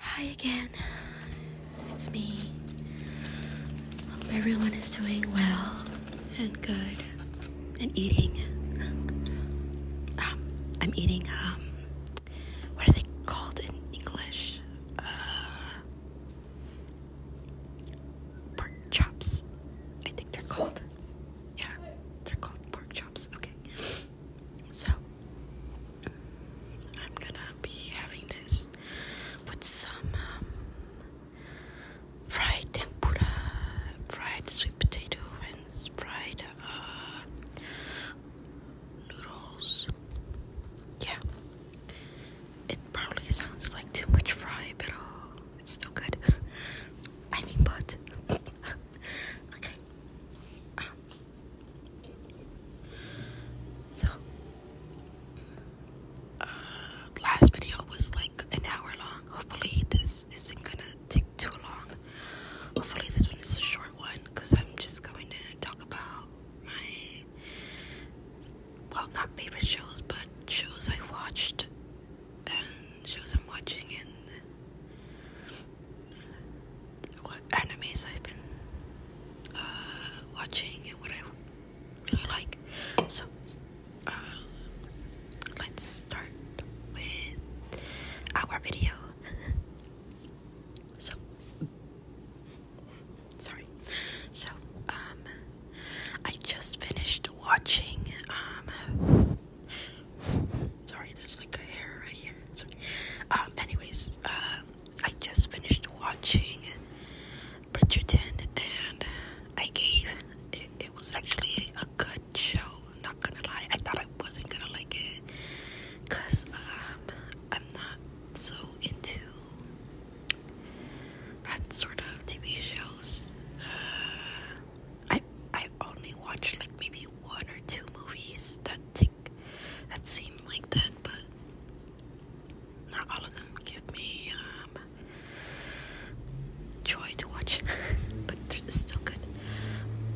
Hi again, it's me. Hope everyone is doing well and good and eating. Um, I'm eating, um, what are they called in English? Uh, pork chops. I think they're called. Yeah, they're called pork chops. Okay. So, I'm gonna be having this with some um, fried tempura, fried sweet potato, and fried uh, noodles. Yeah, it probably sounds like too much fry, but uh, it's still good. I mean, but okay. Um, so, uh, last video was like an hour long. Hopefully, this isn't gonna take too long. Hopefully, this one is a short one because I'm just going to talk about my well, not favorite shows, but shows I watched and shows I'm watching and what animes I've been uh, watching and what I really like. So, uh, let's start with our video. so, sorry. So, um, I just finished watching, um, sorry, there's like a hair right here. Sorry. Um, anyways, um, I just finished watching Bridgerton and I gave it, it was actually a good show. I'm not gonna lie, I thought I wasn't gonna like it because um, I'm not so into that sort of TV shows. Uh, I I only watch like maybe one or two movies that. Take that seem like that, but not all of them give me um, joy to watch, but they still good.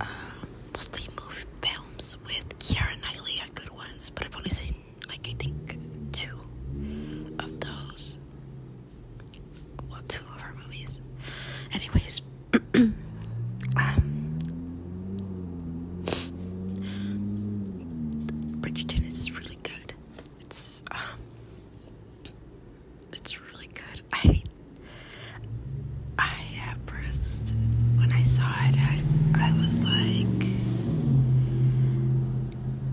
Um, mostly movie films with Keira Knightley are good ones, but I've only seen like I think two of those. Well, two of her movies. Anyways, um, Bridgerton is really good. It's um, it's really good. I I first when I saw it, I I was like,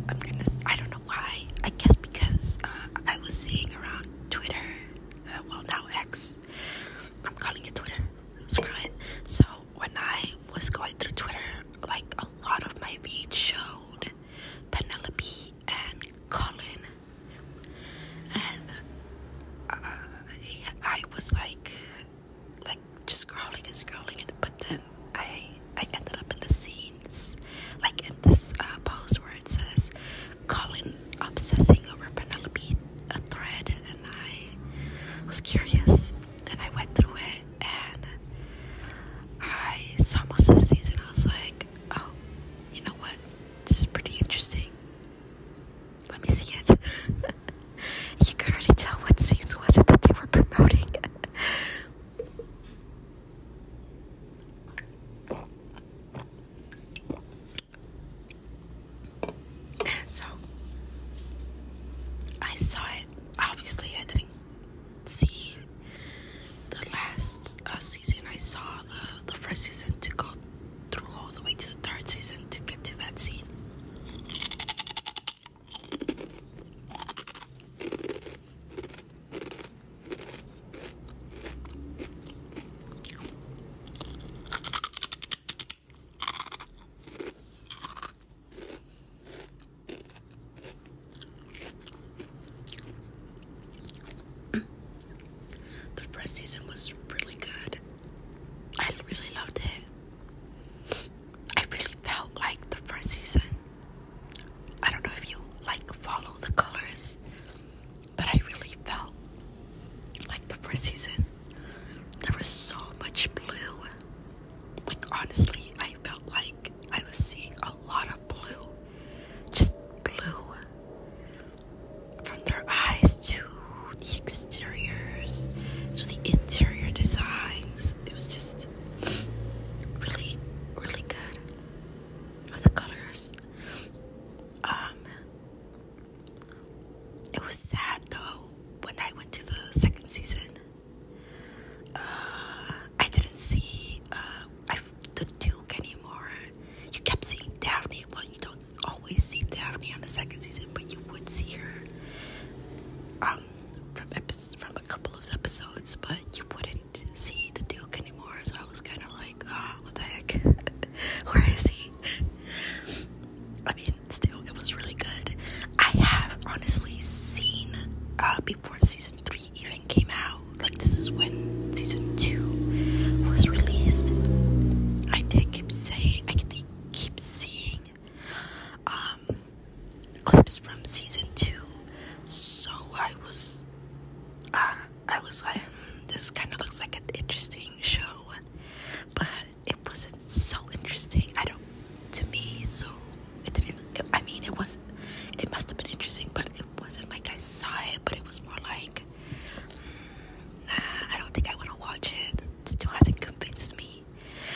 I'm gonna. I don't know why. I guess because uh, I was seeing around Twitter. Uh, well, now X. I'm calling it Twitter screw it. So when I was going through Twitter, like a lot of my feeds showed Penelope and Colin, and uh, I was like, like just scrolling and scrolling, but then I I ended up in the scenes, like in this uh, post where it says Colin obsessing over Penelope a thread and I was curious and I went through it and I saw most of the scenes and I was like, oh, you know what? This is pretty interesting. Let me see it. you could already tell what scenes was it that they were promoting. And so I saw it. Obviously, I didn't see the last uh, season. I saw the, the first season to go through all the way to the third season to get to that scene. the first season was really good. I really loved it. I really felt like the first season. I don't know if you like follow the colors, but I really felt like the first season there was so much blue. Like, honestly, I felt like I was seeing a lot of blue. Just blue. From their eyes to the exteriors, to the interior designs. It was just really, really good with the colors. Um, it was sad though when I went to the second season. Uh, I didn't see uh, I, the Duke anymore. You kept seeing Daphne. Well, you don't always see Daphne on the second season, but you would see her um, from from a couple of episodes, but you wouldn't see the Duke anymore. So I was kind of like, ah, what the heck? Where is he? I mean, still, it was really good. I have honestly seen uh, before season three even came out. Like this is when season two was released. I did keep saying, I did keep seeing um, clips from season two, so I was, uh, I was like, hmm, this kind of looks like an interesting show, but it wasn't so interesting. I don't to me, so it didn't. I mean, it was. It must have been interesting, but it wasn't like I saw it. But it was more like, nah, I don't think I want to watch it. it. Still hasn't convinced me.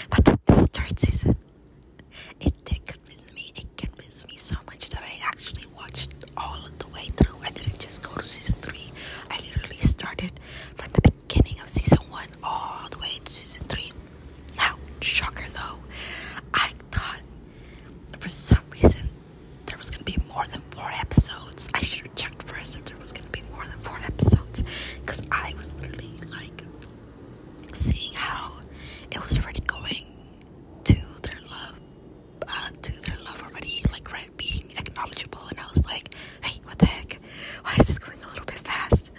But the, this third season, it did convince me. It convinced me so much that I actually watched all of the way through. I didn't just go to season three. I literally started from the beginning beginning of season one all the way to season three. Now, shocker though, I thought for some reason there was gonna be more than four episodes. I should have checked first if there was gonna be more than four episodes because I was literally like seeing how it was already going to their love, uh, to their love already, like right being acknowledgeable, and I was like, hey, what the heck? Why is this going a little bit fast?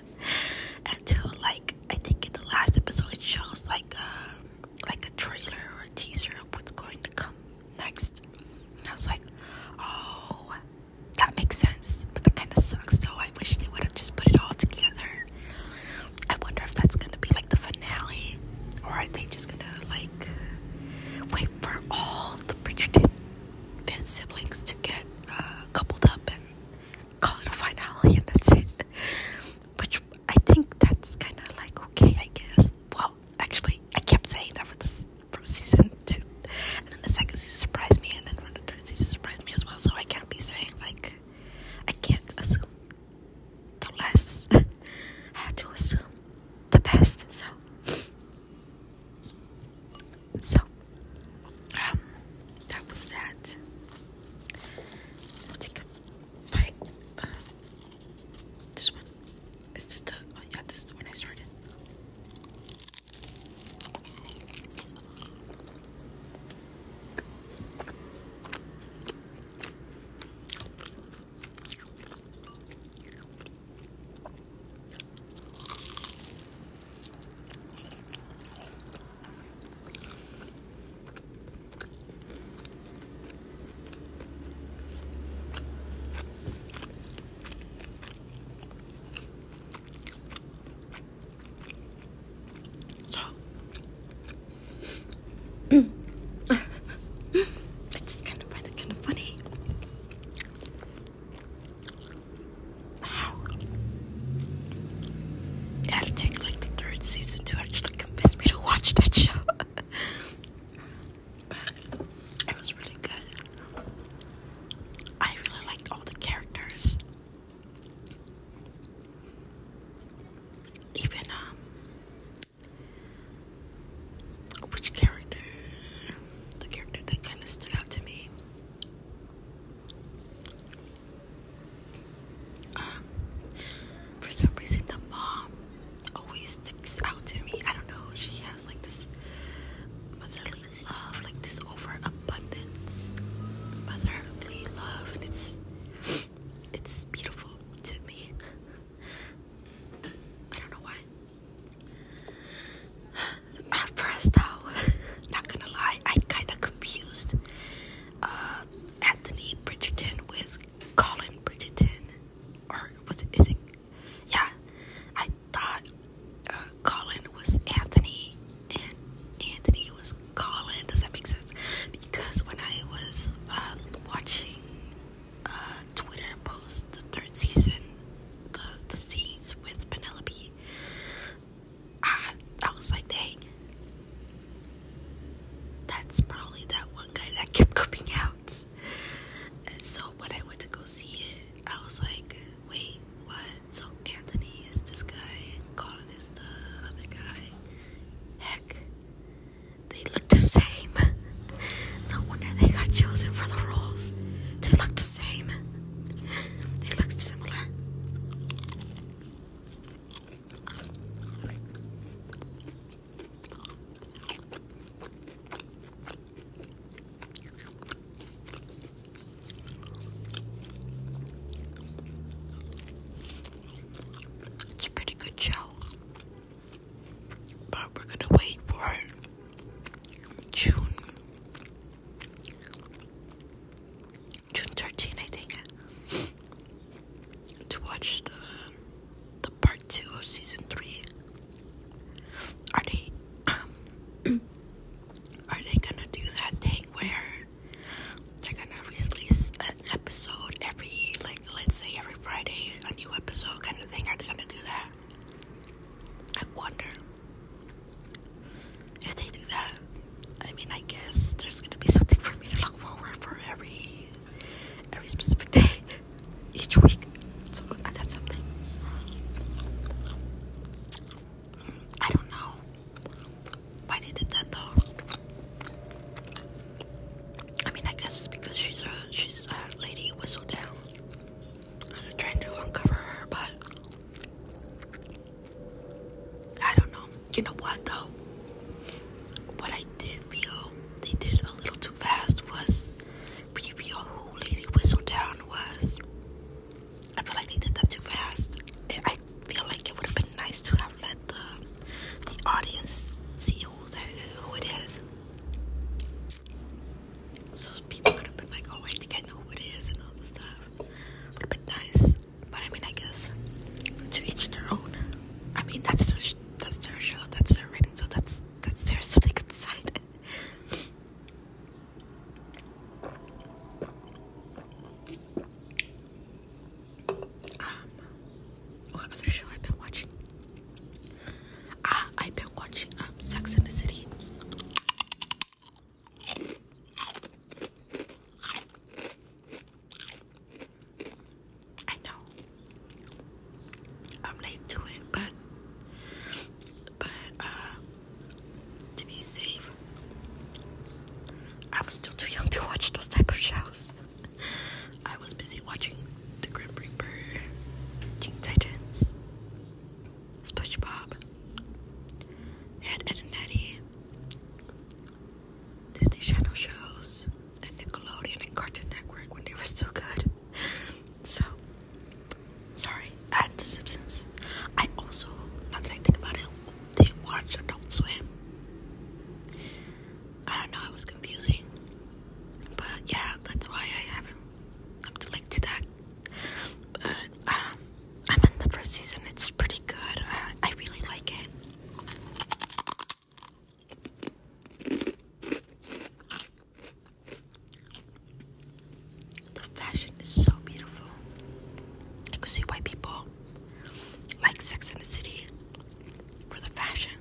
Until like I think in the last episode, it shows like a, uh, like a trailer or a teaser of what's going to come next. I was like, oh, that makes sense, but that kind of sucks. Though I wish they would have just put it all together. I wonder if that's gonna be like the finale, or are they just gonna like wait for all the Bridgerton their siblings to get uh, coupled up and call it a finale, and that's it. Which I think that's kind of like okay, I guess. Well, actually, I kept saying that for this for season two, and then the second season surprised me, and then the third season surprised me as well. So I can't be saying like I can't assume the less. I had to assume the best. So so, um, that was that. I'll take uh, this one. Is this the? Oh yeah, this is the one I started. So it's kind of kind of funny. Wow. It had to take like the third season to actually convince me to watch that show. but it was really good. I really liked all the characters. Even um which character? The character that kind of stood out to me. Um, for some reason, the mom always sticks out to me. I don't know. She has like this motherly love, like this overabundance, motherly love, and it's it's beautiful to me. I don't know why. First out, not gonna lie, I kinda confused uh, Anthony Bridgerton with Colin Bridgerton. Or was it, is it? Yeah, I thought uh, Colin was Anthony and Anthony was Colin. Does that make sense? Because when I was uh, watching uh, Twitter post the third season, the the scenes with Penelope, I I was like, dang, that's probably that one guy that kept coming out. And so when I went to go see it, I was like, wait, what? So Anthony is this guy, Colin is the other guy. Heck, they look the same no wonder they got chosen for the roles. They look the same. They look similar. It's a pretty good show, but we're gonna wait for June June 13, I think, to watch the the part two of season three. Are they um, are they gonna do that thing where they're gonna release an episode every like let's say every Friday a new episode kind of thing? Are they gonna do that? I wonder if they do that. I mean, I guess there's gonna be something for me to look forward for every every specific day, each week. So I that's something. I don't know why they did that though. I mean, I guess it's because she's a she's a lady whistle down. I'm trying to uncover her, but I don't know. You know what though? What I did feel they did a little too fast was reveal who Lady Whistledown was. I feel like they did that too fast. I feel like it would have been nice to have let the the audience see who that who it is so people could have been like, oh, I think I know what it is and all this stuff. Would have nice, but I mean, I guess to each their own. I mean, that's their that's their show, that's their writing, so that's that's their so they can decide. um, what other show I've been watching? Ah, I've been watching um, Sex in the City. I know I'm late to it, but but uh, to be safe, I was still too young to watch those type of shows. I was busy watching The Grim Reaper, King Titans, SpongeBob, Ed, Ed and Eddie, Disney Channel shows, and Nickelodeon and Cartoon Network when they were still good. so, sorry, at The Simpsons. I also, now that I think about it, they watched Adult Swim. I don't know, it was confusing. But yeah, that's why I haven't up to like that um, I'm in the first season. It's pretty good. I really like it. The fashion is so beautiful. I could see why people like Sex in the City for the fashion,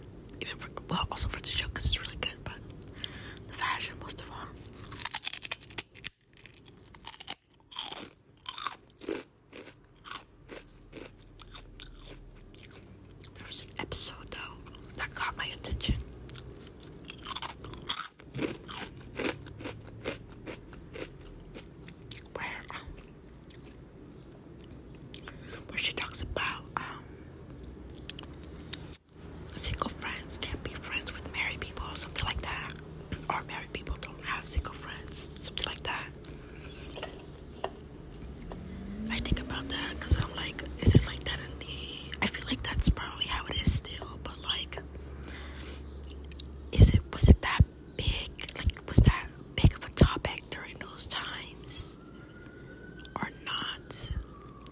even for well, also for the show because it's really good but the fashion was the wrong. There was an episode though that caught my attention. Where um, where she talks about um, single friends can't be friends with married people, something like that. Or married people don't have single friends, something like that. I think about that because I'm like, is it like that in the. I feel like that's probably how it is still, but like, is it. Was it that big? Like, was that big of a topic during those times? Or not?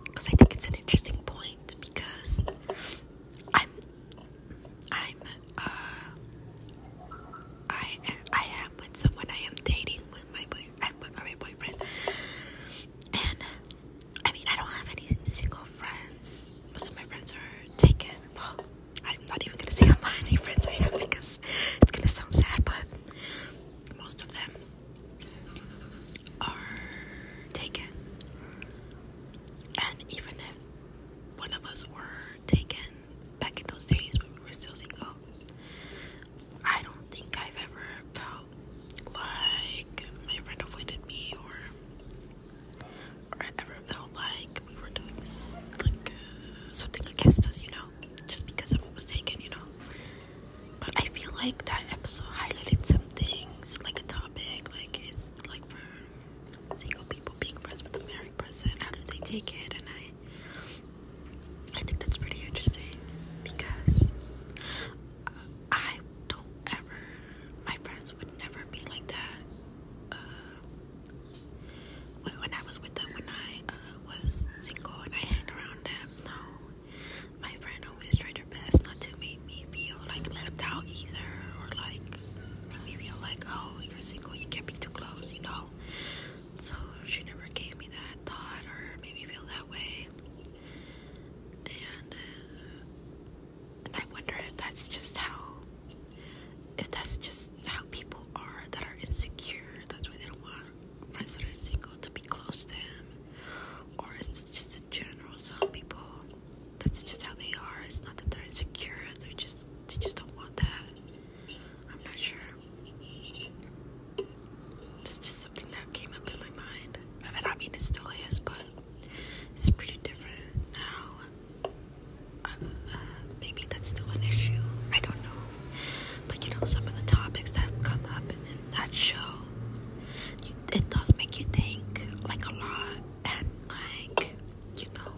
Because I think it's an interesting point because I'm I'm uh I I am with someone I am dating with my boy with my boyfriend and I mean I don't have any single friends most of my friends are taken I'm not even gonna say how many friends I have because it's gonna sound sad but most of them are taken. And even if one of us were taken back in those days when we were still single, I don't think I've ever felt like my friend avoided me or or ever felt like we were doing like uh, something against us, you know, just because someone was taken, you know. But I feel like that episode highlighted some things, like a topic, like it's like for single people being friends with a married person. How do they take it? And I, I think that's pretty interesting because I don't ever. My friends would never be like that. Uh, when I was with them, when I uh, was single and I hang around them, no my friend always tried her best not to make me feel like left out either or like make me feel like oh you're single you can't be too close you know so she never gave me that thought or made me feel that way and and uh, I wonder if that's just how if that's just how people are that are insecure that's why they don't want friends that are single to be close to them or it's just a general some people that's just how they are it's not that they're insecure they're just they just don't want that i'm not sure it's just something that came up in my mind I mean, I mean it still is but it's pretty different now uh, uh, maybe that's still an issue i don't know but you know some of the topics that have come up in that show it does make you think like a lot and like you know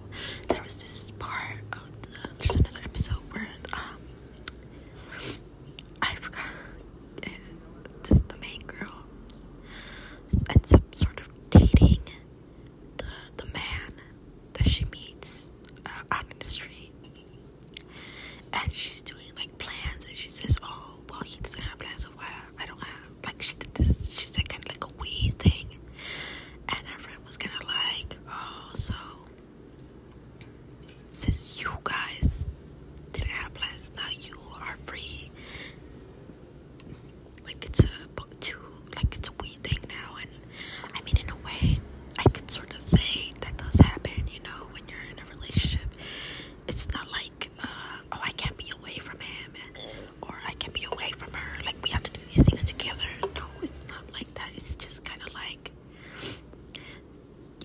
there was this part of the there's another episode where um I forgot it, uh, this the main girl ends up sort of dating the the man that she meets uh, out in the street and she's doing like plans and she says oh well he doesn't have plans so why I don't have like she did this she said kind of like a weird thing and her friend was kind of like oh so is you guys didn't have plans now you are free like it's a book too like it's a weird thing now and I mean in a way I could sort of say that does happen you know when you're in a relationship it's not like uh, oh I can't be away from him or I can be away from her. Like we have to do these things together. No, it's not like that. It's just kind of like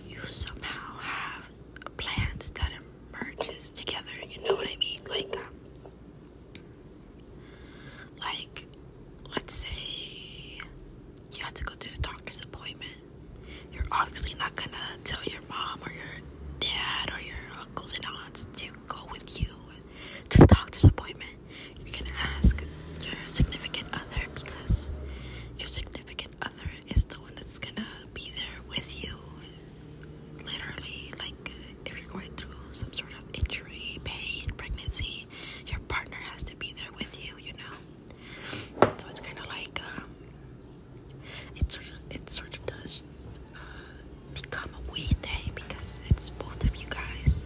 you somehow have plans that emerges together. You know what I mean? Like, um, like let's say you have to go to the doctor's appointment you're obviously not gonna tell your mom or your dad or your uncles and aunts to go with you to the doctor's appointment. You're gonna ask your significant other because your significant other is the one that's gonna be there with you. Literally, like if you're going through some sort of injury, pain, pregnancy, your partner has to be there with you, you know? So it's kind of like, um, it sort of it sort of does uh, become a we thing because it's both of you guys.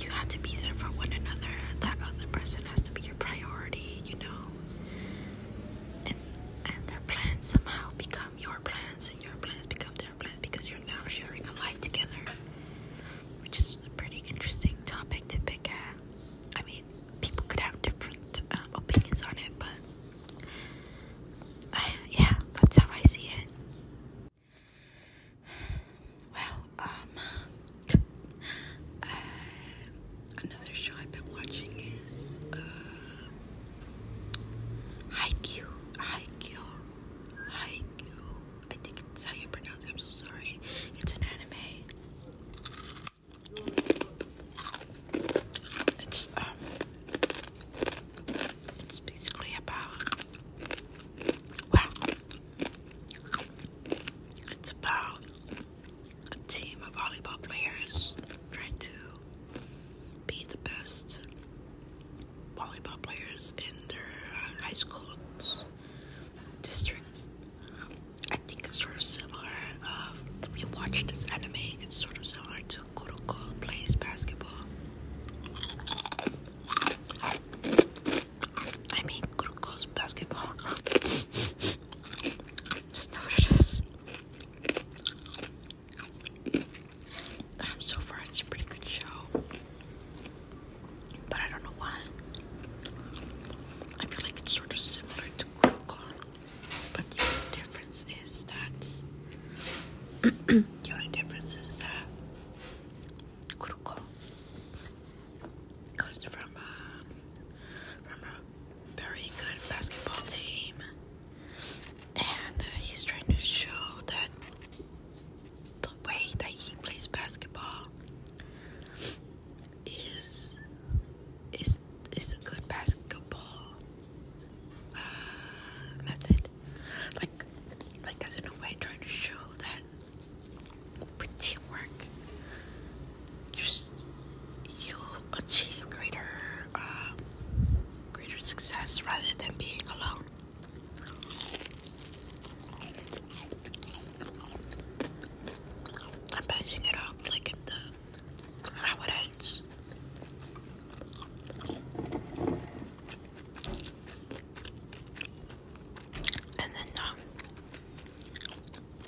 You have to be there for one another. That other person has to be your priority, you know. And and their plans somehow become your plans, and your plans become their plans because you're now sharing a life together, which is a pretty interesting topic to pick at. I mean, people could have different um, opinions on it, but I, yeah, that's how I see it. Well, um, uh, another show I've been watching is uh, Haikyuu, Haikyuu, Haikyuu. I think it's how you pronounce it. I'm so sorry. It's an anime. It's um it's basically about well it's about a team of volleyball players trying to be the best volleyball players in their uh, high school districts. I think it's sort of similar. Uh, if you watch this anime, it's sort of similar to Kuroko Plays Basketball. I mean, Kuroko's basketball. That's not what it is. Um, so far, it's a pretty good show. But I don't know why. I feel like it's sort of similar to Kuroko. But the only difference is that the only difference is that Kuruko comes uh, from a, very good basketball team, and uh, he's trying to show that the way that he plays basketball is is it's a good basketball uh, method. Like like as in a way trying to show that with teamwork you you achieve greater um, greater success rather than being alone. I'm passing it off like the and then um,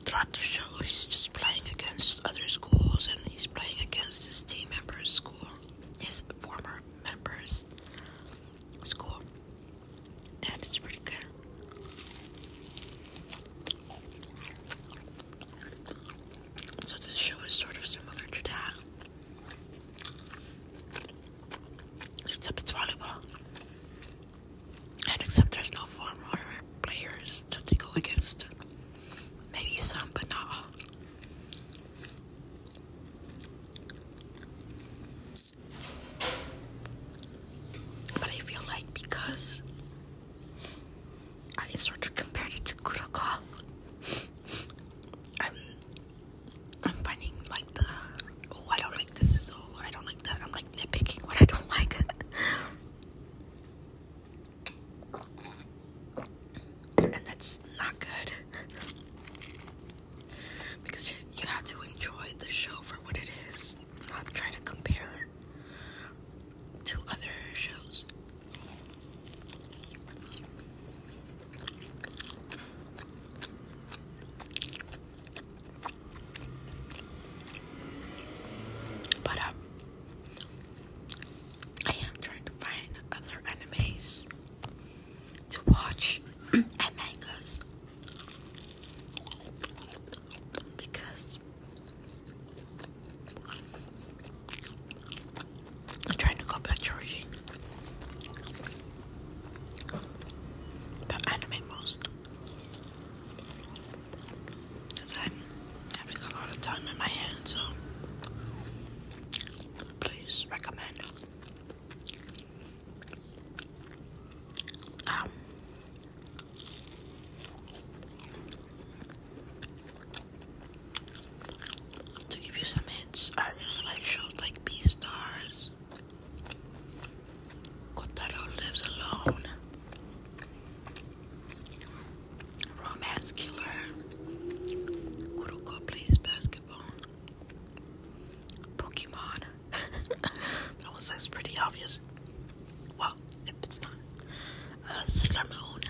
throughout the show, he's just playing against other schools, and he's playing against his team members' school, his former members' school, and it's pretty good. So this show is sort of similar to that. Except it's volleyball. And except there's no form or players that they go against. Maybe some, but not all. But I feel like because I sort of compared it to Kuroko. I'm, I'm finding like the oh I don't like this so I don't like that I'm like nitpicking what I don't like. and that's not good because you, you have to enjoy the show for what it is, not try to compare to other shows. But um, I am trying to find other animes to watch and mangas because I'm trying to go back to reading anime most I'm having a lot of time in my hands, so please recommend. Um, to give you some hints, I like shows like Beastars, Kotaro Lives Alone, Romance Kuroko Plays Basketball, Pokemon. that one sounds pretty obvious. Well, if it's not uh, Sailor Moon,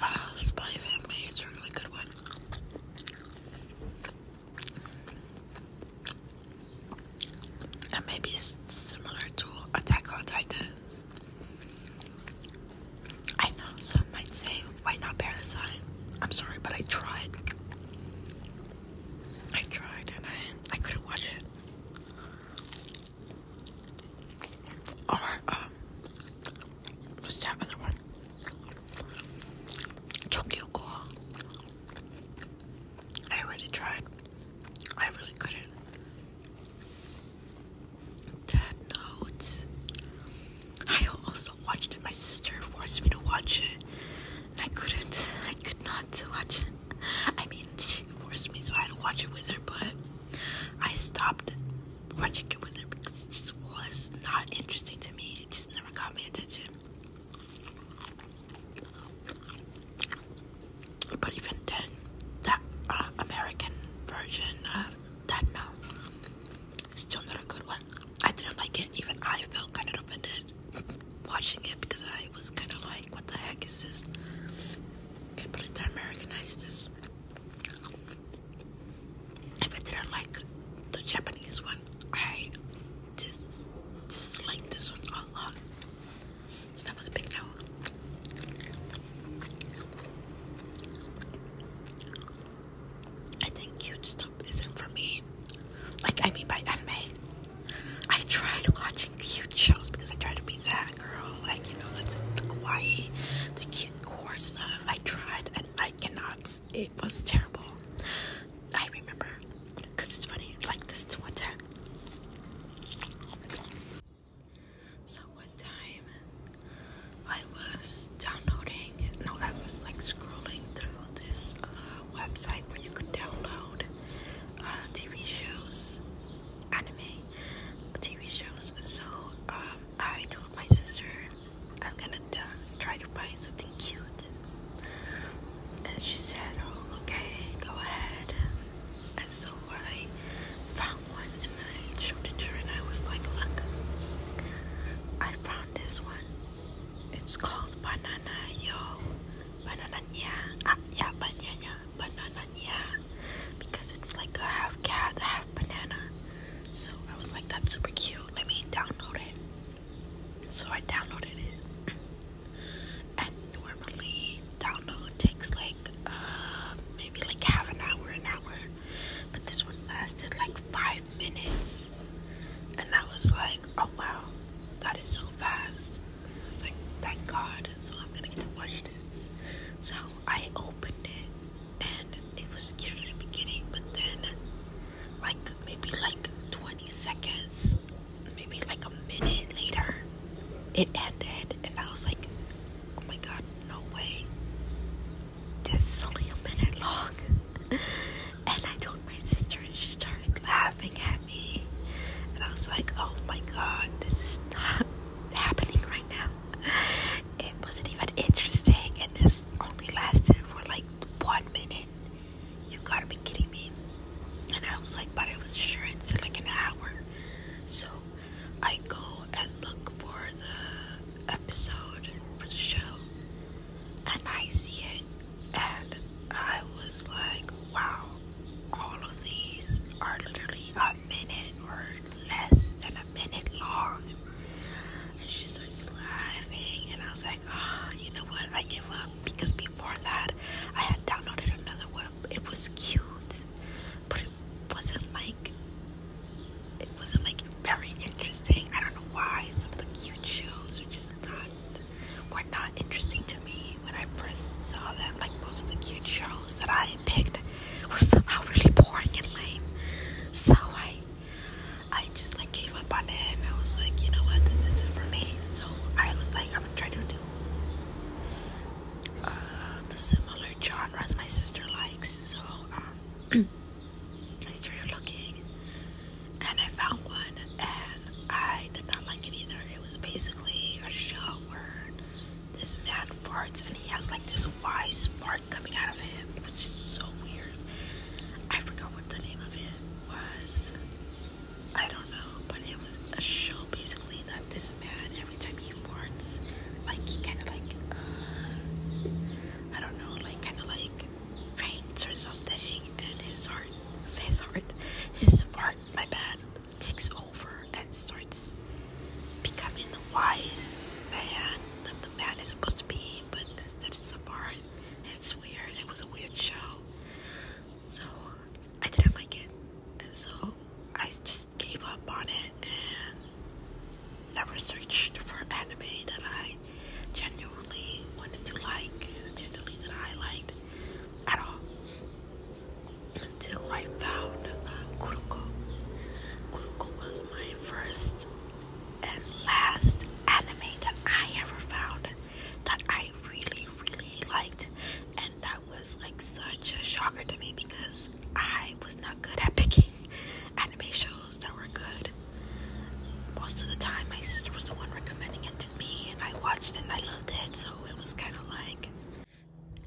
ah, Spy Family is a really good one. And maybe similar to Attack on Titans. I know some might say, why not Parasite? I'm sorry, but I tried. I tried and I I couldn't watch it. Or um, what's that other one? Tokyo I already tried. I really couldn't. Dead Notes. I also watched it. My sister forced me to watch it. I couldn't, I could not watch it. I mean, she forced me, so I had to watch it with her, but I stopped watching it with her because it just was not interesting to me. It just never caught my attention. But even then, that uh, American version of that no, still not a good one. I didn't like it. Even I felt kind of offended watching it because I was kind of like, what the heck is this? Can't believe they Americanized this. If I didn't like the Japanese one, I just disliked this one a lot. So that was a big no. I think huge isn't for me. Like I mean by anime. I tried watching cute shows because I tried to be that girl, like you know, that's the kawaii, the cute core stuff. I tried and I cannot. It was terrible. I remember, cause it's funny. Like this is one time. So one time, I was downloading. No, I was like scrolling through this uh, website where you can download uh, TV shows, anime TV shows. So um, I told my sister I'm gonna uh, try to buy something cute, and she said, "Oh, okay, go ahead." And so I found one, and I showed it to her, and I was like, "Look, I found this one." It's called banana yo, banana nya, ah, yeah, banana, banana nya, because it's like a half cat, half banana. So I was like, that's super cute. Let me download it. So I downloaded it, and normally download takes like uh, maybe like half an hour, an hour, but this one lasted like five minutes, and I was like oh wow, that is so fast. I was like, thank God. So I'm gonna get to watch this. So I opened it and it was cute at the beginning, but then, like, maybe like 20 seconds, maybe like a minute later, it ended. And I was like, oh my God, no way. This is only a minute long. And I told my sister, and she started laughing at me. And I was like, oh my god, this is not happening right now. It wasn't even interesting, and this only lasted for like one minute. You gotta be kidding me. And I was like, but it was sure it's like an hour. So I go and look for the episode for the show, and I see it, and I was like, wow, all of these are literally a minute or less than a minute long. And she starts laughing, and I was like, oh, you know what? I give up because before that, I had downloaded another one. It was cute, but it wasn't like it wasn't like very interesting. I don't know why some of the cute shows are just not were not interesting to me when I first saw them. Like most of the cute shows that I picked were somehow really boring and lame. So I I just like gave up on it I was like, you know what, this isn't for me. So I was like, I'm gonna try to do uh, the similar genres my sister likes. So um, I started looking and I found one and I did not like it either. It was basically a show where this man farts and he has like this wise fart coming out of him. It was just so weird. I forgot what the name of it was. I don't know, but it was a show basically that this man every time he farts, like he kind of like uh, I don't know, like kind of like faints or something, and his heart his heart, his heart, my bad, takes over and starts becoming the wise man that the man is supposed to be, but instead it's a fart. It's weird. It was a weird show. So I didn't like it. And so I just gave up on it and never searched for anime that I genuinely wanted to like, genuinely that I liked at all. Until I found uh, Kuroko Kuruko was my first and last anime that I ever found that I really, really liked. And that was like such a shocker to me because I was not good at picking anime shows that were good most of the time my sister was the one recommending it to me and I watched it and I loved it so it was kind of like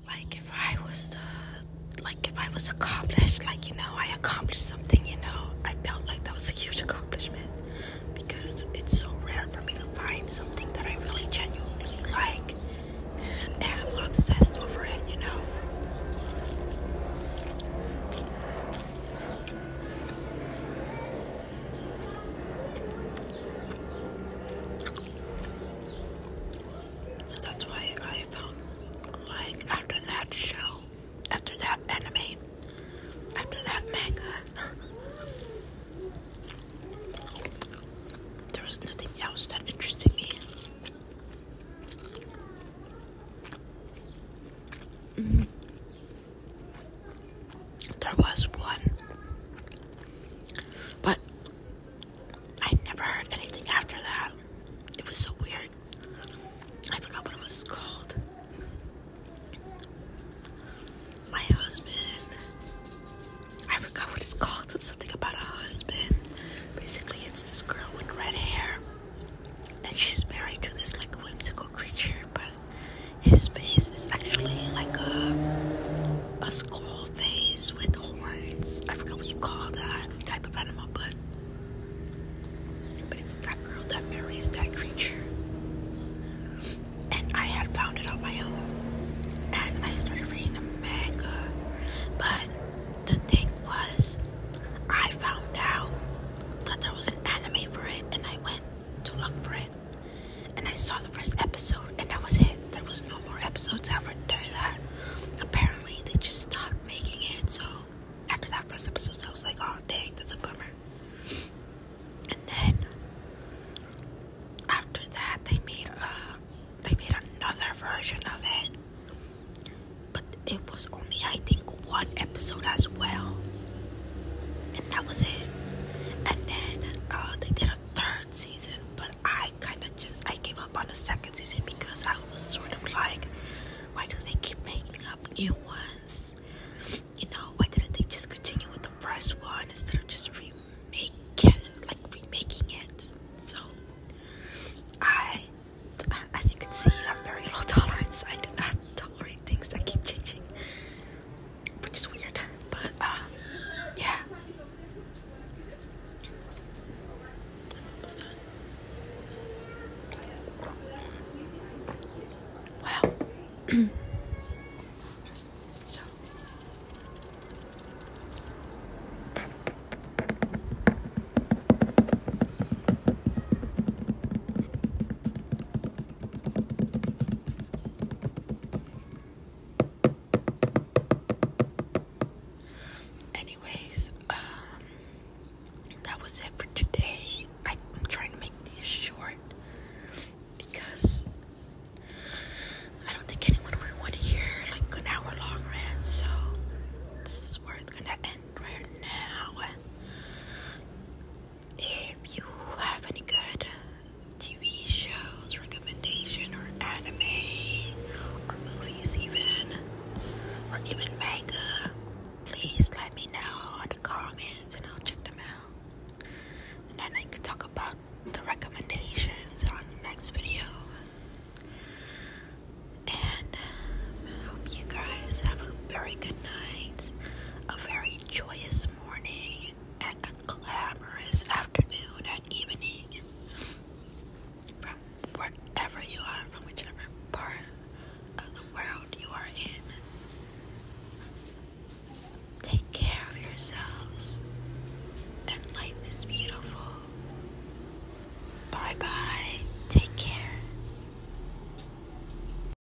like if I was the like if I was accomplished like you know I accomplished something you know I felt like that was a huge accomplishment because it's so rare for me to find something that I really genuinely like and am obsessed over it you know so that's why I felt like after that show, after that anime, after that manga, there was nothing else that interested me. Mm-hmm. There was one, but I never heard anything after that. It was so weird. I forgot what it was called. My husband. I forgot what it's called. It's something about a husband. Basically, it's this girl with red hair, and she's married to this like whimsical creature, but his face is actually like a a skull face with horns. I forget what you call that type of animal, but but it's that girl that marries that creature. And I had found it on my own, and I started reading the manga. But the thing was, I found out that there was an anime for it, and I went to look for it. And I saw the first episode, and I was hit. There was no more episodes after that. Apparently, they just stopped making it. So after that first episode, I was like, "Oh dang, that's a bummer." And then after that, they made a they made another version of it, but it was only I think one episode as well, and that was it. And then uh, they did a third season, but I kind of just I gave up on the second season because I was sort of like, why do they keep making up new ones? You know, why didn't they just continue with the first one instead of just remake like remaking it? So I, as you can see, I'm very low tolerance. I do not tolerate things that keep changing which is weird, but uh, yeah. Wow. so. Anyways, um, that was it for today. I'm trying to make these short because I don't think anyone would want to hear like an hour long rant, so this is where it's gonna end right now. If you have any good TV shows, recommendation, or anime, or movies, even, or even manga, please let me know in the comments and I'll check them out. And then I can talk about the recommendations on the next video. And I hope you guys have a very good night, a very a joyous morning and a glamorous afternoon and evening from wherever you are, from whichever part of the world you are in. Take care of yourselves, and life is beautiful. Bye bye. Take care.